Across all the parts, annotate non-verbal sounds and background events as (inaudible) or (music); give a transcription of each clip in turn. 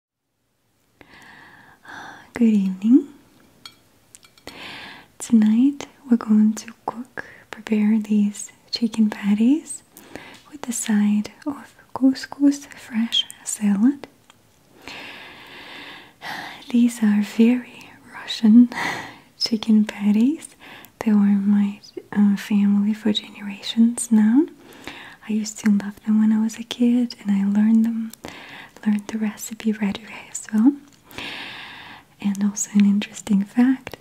(sighs) Good evening. Tonight we're going to cook, prepare these chicken patties with the side of couscous fresh salad. (sighs) These are very Russian (laughs) chicken patties. They were my uh, family for generations now. I used to love them when I was a kid, and I learned them, learned the recipe right away as well. And also an interesting fact: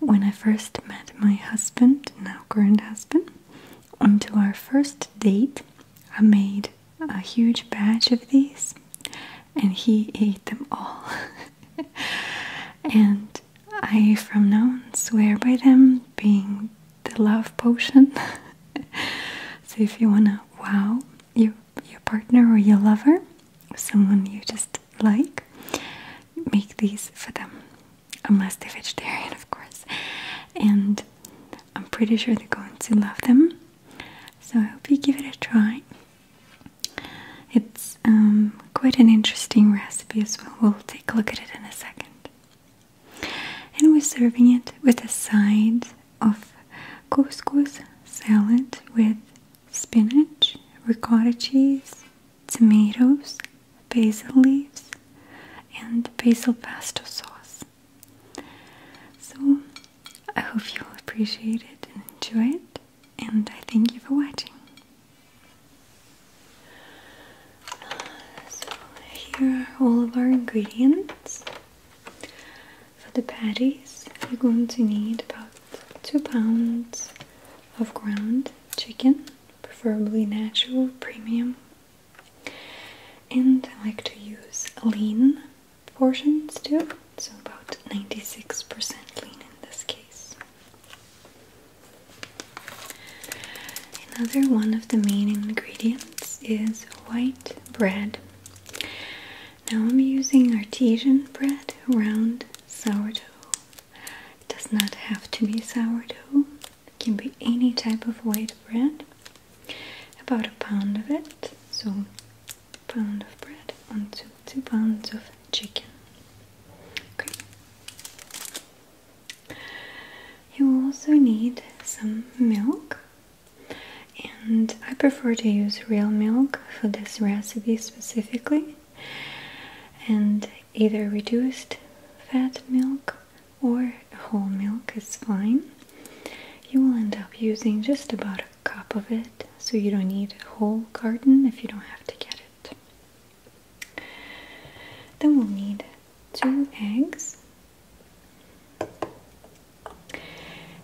when I first met my husband, now current husband, until our first date, I made a huge batch of these, and he ate them all. (laughs) and I, from now on, swear by them being the love potion. (laughs) so if you wanna wow your your partner or your lover, someone you just like, make these for them. Unless they're vegetarian, of course. And I'm pretty sure they're going to love them. So I hope you give it a try. It's um, quite an interesting recipe as well. We'll take a look at it in a second. And we're serving it with a side of couscous salad with spinach, ricotta cheese, tomatoes, basil leaves, and basil pesto sauce. So I hope you'll appreciate it and enjoy it, and I thank you for watching so here are all of our ingredients. For the patties, you're going to need about 2 pounds of ground chicken, preferably natural, premium. And I like to use lean portions too, so about 96% lean in this case. Another one of the main ingredients is white bread. Now I'm using artesian bread, round sourdough. It does not have to be sourdough, it can be any type of white bread. About a pound of it, so pound of bread onto two pounds of chicken. You'll also need some milk, and I prefer to use real milk for this recipe specifically, and either reduced fat milk or whole milk is fine. You will end up using just about a cup of it, so you don't need a whole carton if you don't have to get it. Then we'll need two eggs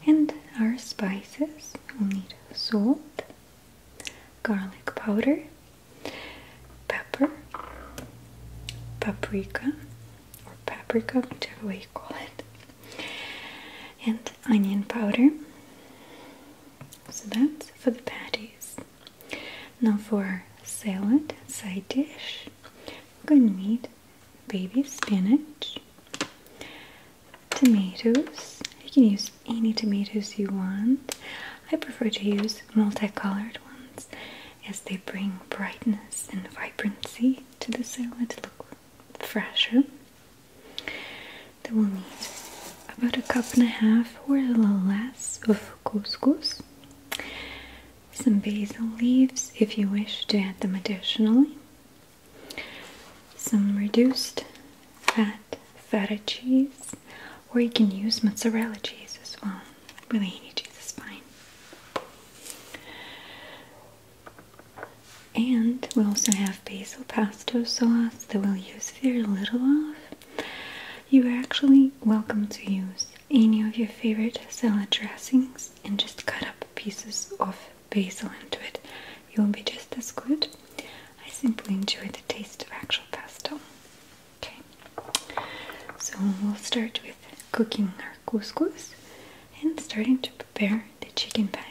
and our spices. We'll need salt, garlic powder, pepper, paprika or paprika, whichever way you call it, and onion powder. So that's for the patties. Now for salad side dish, we're going to need baby spinach, tomatoes. You can use any tomatoes you want. I prefer to use multicolored ones as they bring brightness and vibrancy to the salad to look fresher. we'll need about a cup and a half or a little less of couscous some basil leaves if you wish to add them additionally, some reduced fat feta cheese, or you can use mozzarella cheese as well. Really, any cheese is fine. And we also have basil pesto sauce that we'll use very little of. You are actually welcome to use any of your favorite salad dressings and just cut up pieces of basil into it. You will be just as good. I simply enjoy the taste of actual pesto. Okay, so we'll start with cooking our couscous and starting to prepare the chicken patties.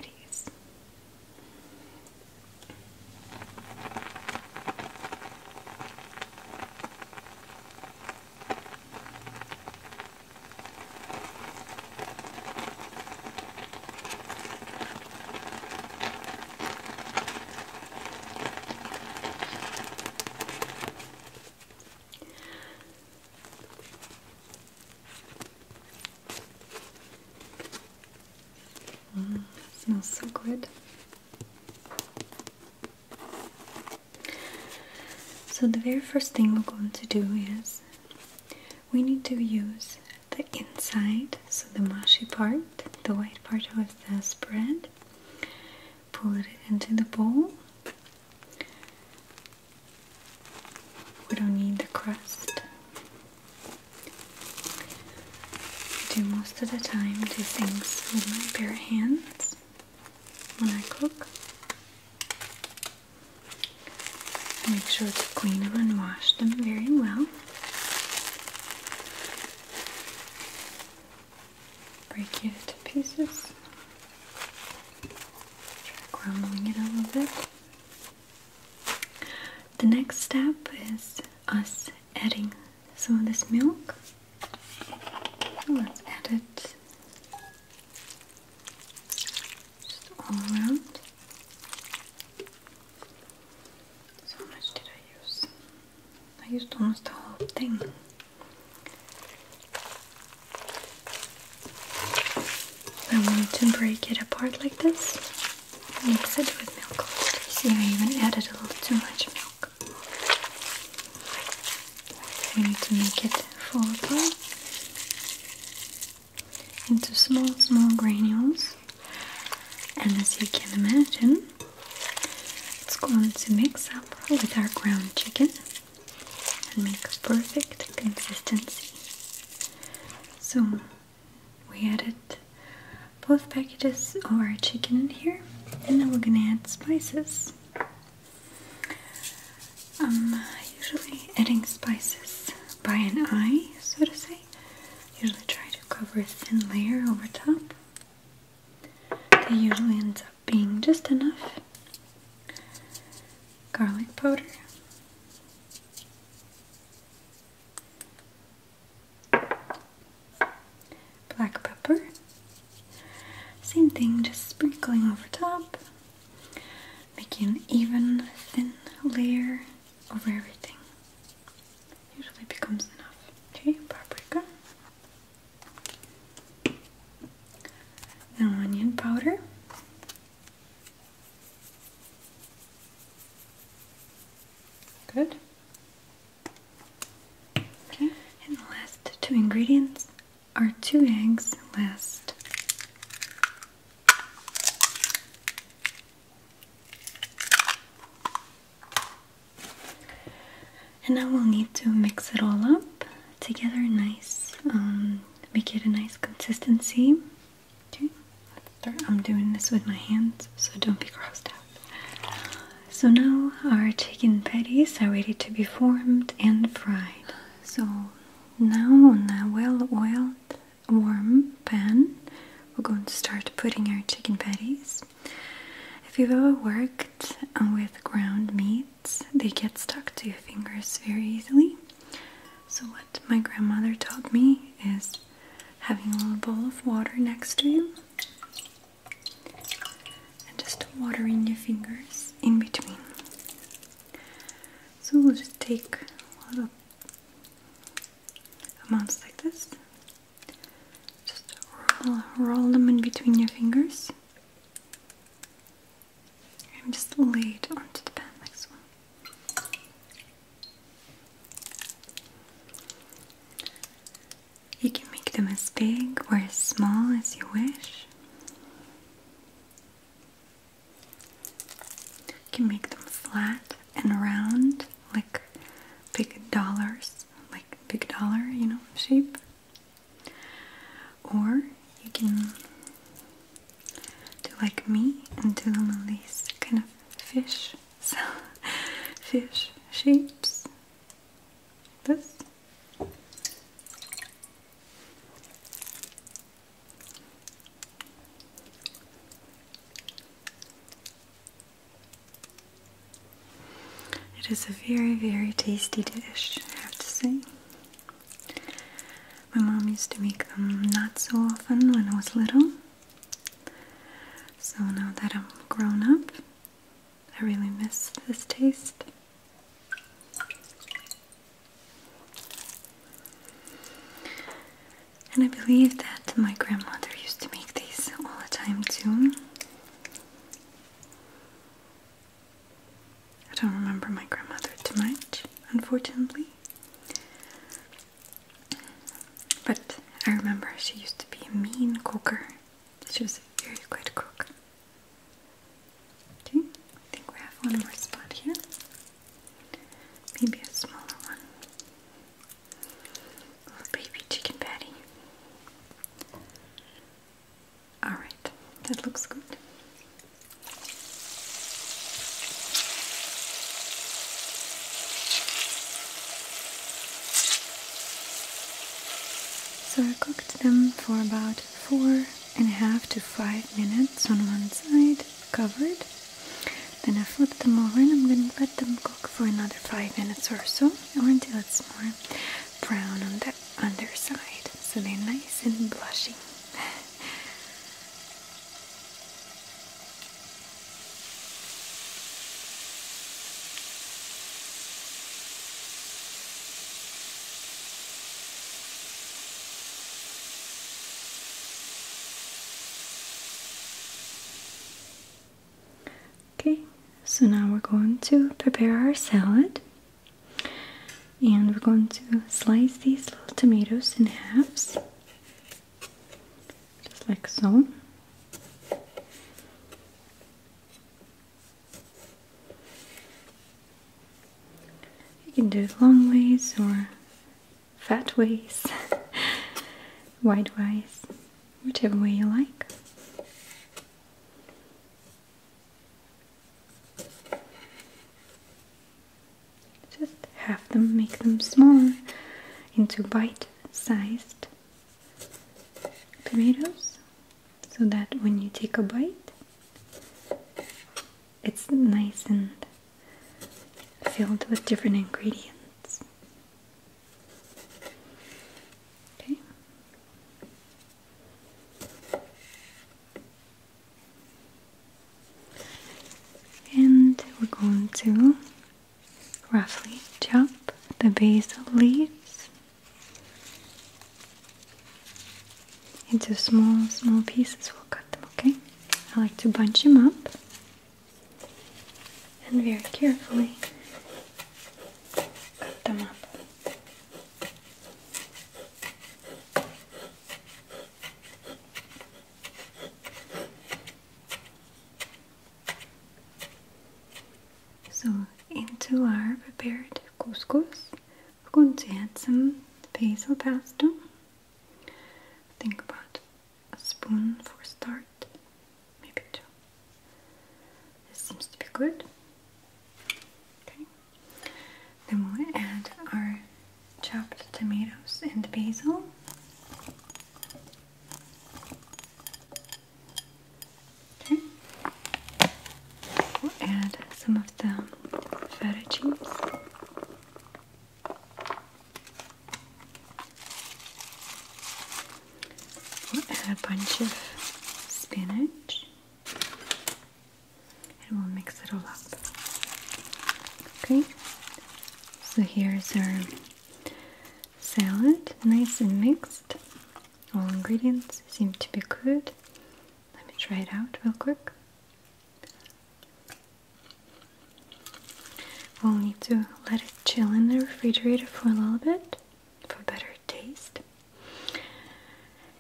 Mm, smells so good. So, the very first thing we're going to do is we need to use the inside, so the mushy part, the white part of the spread, pull it into the bowl. We don't need the crust. I do most of the time do things with my bare hands when I cook. I make sure to clean them and wash them very well. Break it into pieces. Try crumbling it a little bit. The next step is us adding some of this milk. Let's add it just all around. how much did I use? I used almost the whole thing. I wanted to break it apart like this. Mix it with milk. See, I even added a little too much milk. We need to make it fall apart into small, small granules, and as you can imagine, it's going to mix up with our ground chicken and make a perfect consistency. So we added both packages of our chicken in here, and then we're gonna add spices. i um, usually adding spices by an eye, so to say. Usually try to cover a thin layer over top. It usually ends up being just enough. Garlic powder black pepper. Same thing, just sprinkling over top, making an even thin layer over everything. Usually becomes enough. Okay, paprika. Then onion powder. Good. Okay. And the last two ingredients are two eggs last. And now we'll need to mix it all up together nice, um, make it a nice consistency. Okay, I'm doing this with my hands, so don't be grossed out. So now our chicken patties are ready to be formed and fried. So now on a well-oiled warm pan, we're going to start putting our chicken patties. If you've ever worked with ground meats, they get stuck to your fingers very easily. So what my grandmother taught me is having a little bowl of water next to you and just in your fingers in between. So we'll just take little amounts like this. Just roll, them in between your fingers. I'm just laid it onto the pan like so. You can make them as big or as small as you wish. You can make them flat and round, like big dollars, like big dollar, you know, shape. Or you can do like me and do the in kind of fish so, (laughs) fish shapes. This. It is a very, very tasty dish, I have to say. My mom used to make them not so often when I was little, so now that I'm grown up, I really miss this taste. And I believe that my grandmother used to make these all the time too. I don't remember my grandmother too much, unfortunately. But I remember she used to be a mean cooker. She was a very good cook. Okay, I think we have one more spot here. Maybe a smaller one. A baby chicken patty. Alright, that looks good. So I cooked them for about four and a half to five minutes on one side, covered. Then I flipped them over and I'm gonna let them cook for another five minutes or so, or until it's more brown on the underside, so they're nice and blushing. (laughs) Okay, so now we're going to prepare our salad. And we're going to slice these little tomatoes in halves just like so. You can do long ways or fat ways, (laughs) wide ways, whichever way you like. Just have them, make them small into bite sized tomatoes so that when you take a bite it's nice and filled with different ingredients. Okay. And we're going to roughly chop the basil leaves into small, small pieces. We'll cut them, okay? I like to bunch them up and very carefully cut them up. So into our prepared couscous, we're going to add some basil pesto. Think about a spoon for start, maybe two. This seems to be good. Okay. Then we'll add our chopped tomatoes and basil. Okay. We'll add some of the feta cheese. We'll add a bunch of spinach and we'll mix it all up. Okay, so here's our salad, nice and mixed. All ingredients seem to be good. Let me try it out real quick. We'll need to let it chill in the refrigerator for a little bit for better taste.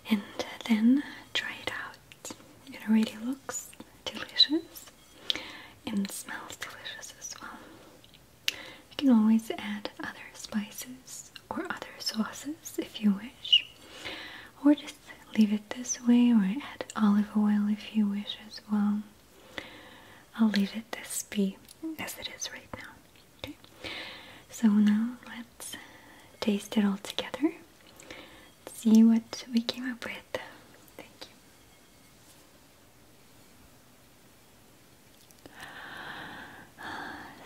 And then try it out. It already looks delicious and smells delicious as well. You can always add other spices or other sauces if you wish, or just leave it this way, or add olive oil if you wish as well. I'll leave it this be as it is right now. Okay, so now let's taste it all together. See what we came up with. Thank you.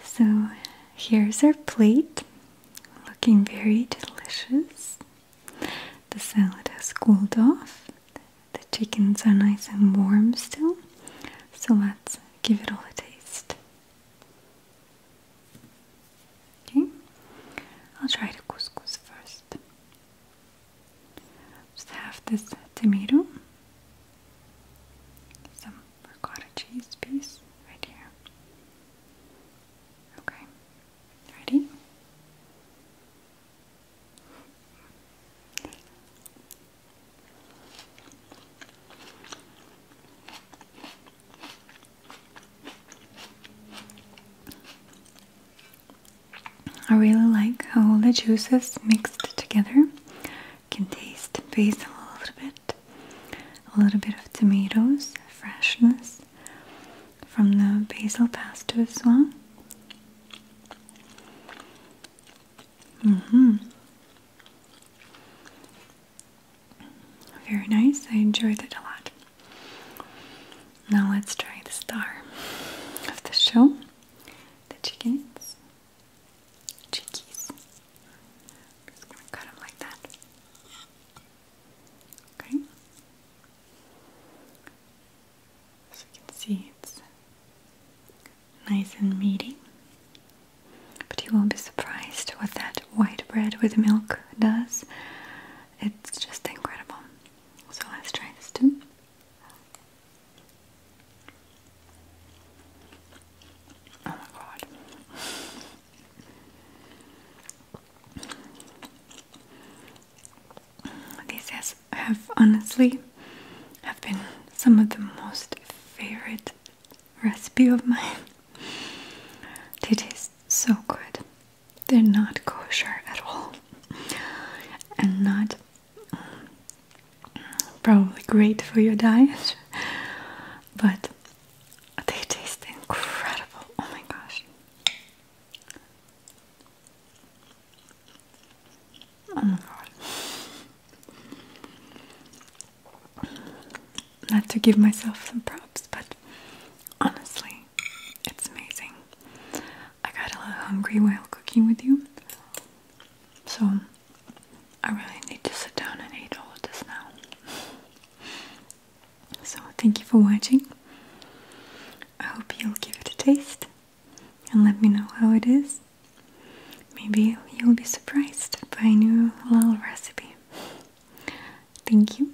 So here's our plate, looking very delicious. The salad has cooled off, the chickens are nice and warm still, so let's give it all a taste. Okay, I'll try the couscous first. Just have this tomato, some ricotta cheese piece right here. Okay, ready? I really like how all the juices mixed together. Can taste basil a little bit, a little bit of tomatoes, freshness from the basil pesto as well. hmm Very nice. I enjoyed it a lot. Now let's try the star of the show the chickens. Chickies. I'm like that. Okay. As you can see, it's nice and meaty. But you won't be surprised what that white bread with milk does. It's just incredible. So let's try this too. Oh my god. These have honestly have been some of the most favorite recipe of mine. It is so good they're not kosher at all and not mm, probably great for your diet but they taste incredible oh my gosh oh my god not to give myself some props but honestly it's amazing. I got a little hungry while cooking with you, so I really need to sit down and eat all of this now. So, thank you for watching. I hope you'll give it a taste and let me know how it is. Maybe you'll be surprised by a new little recipe. Thank you,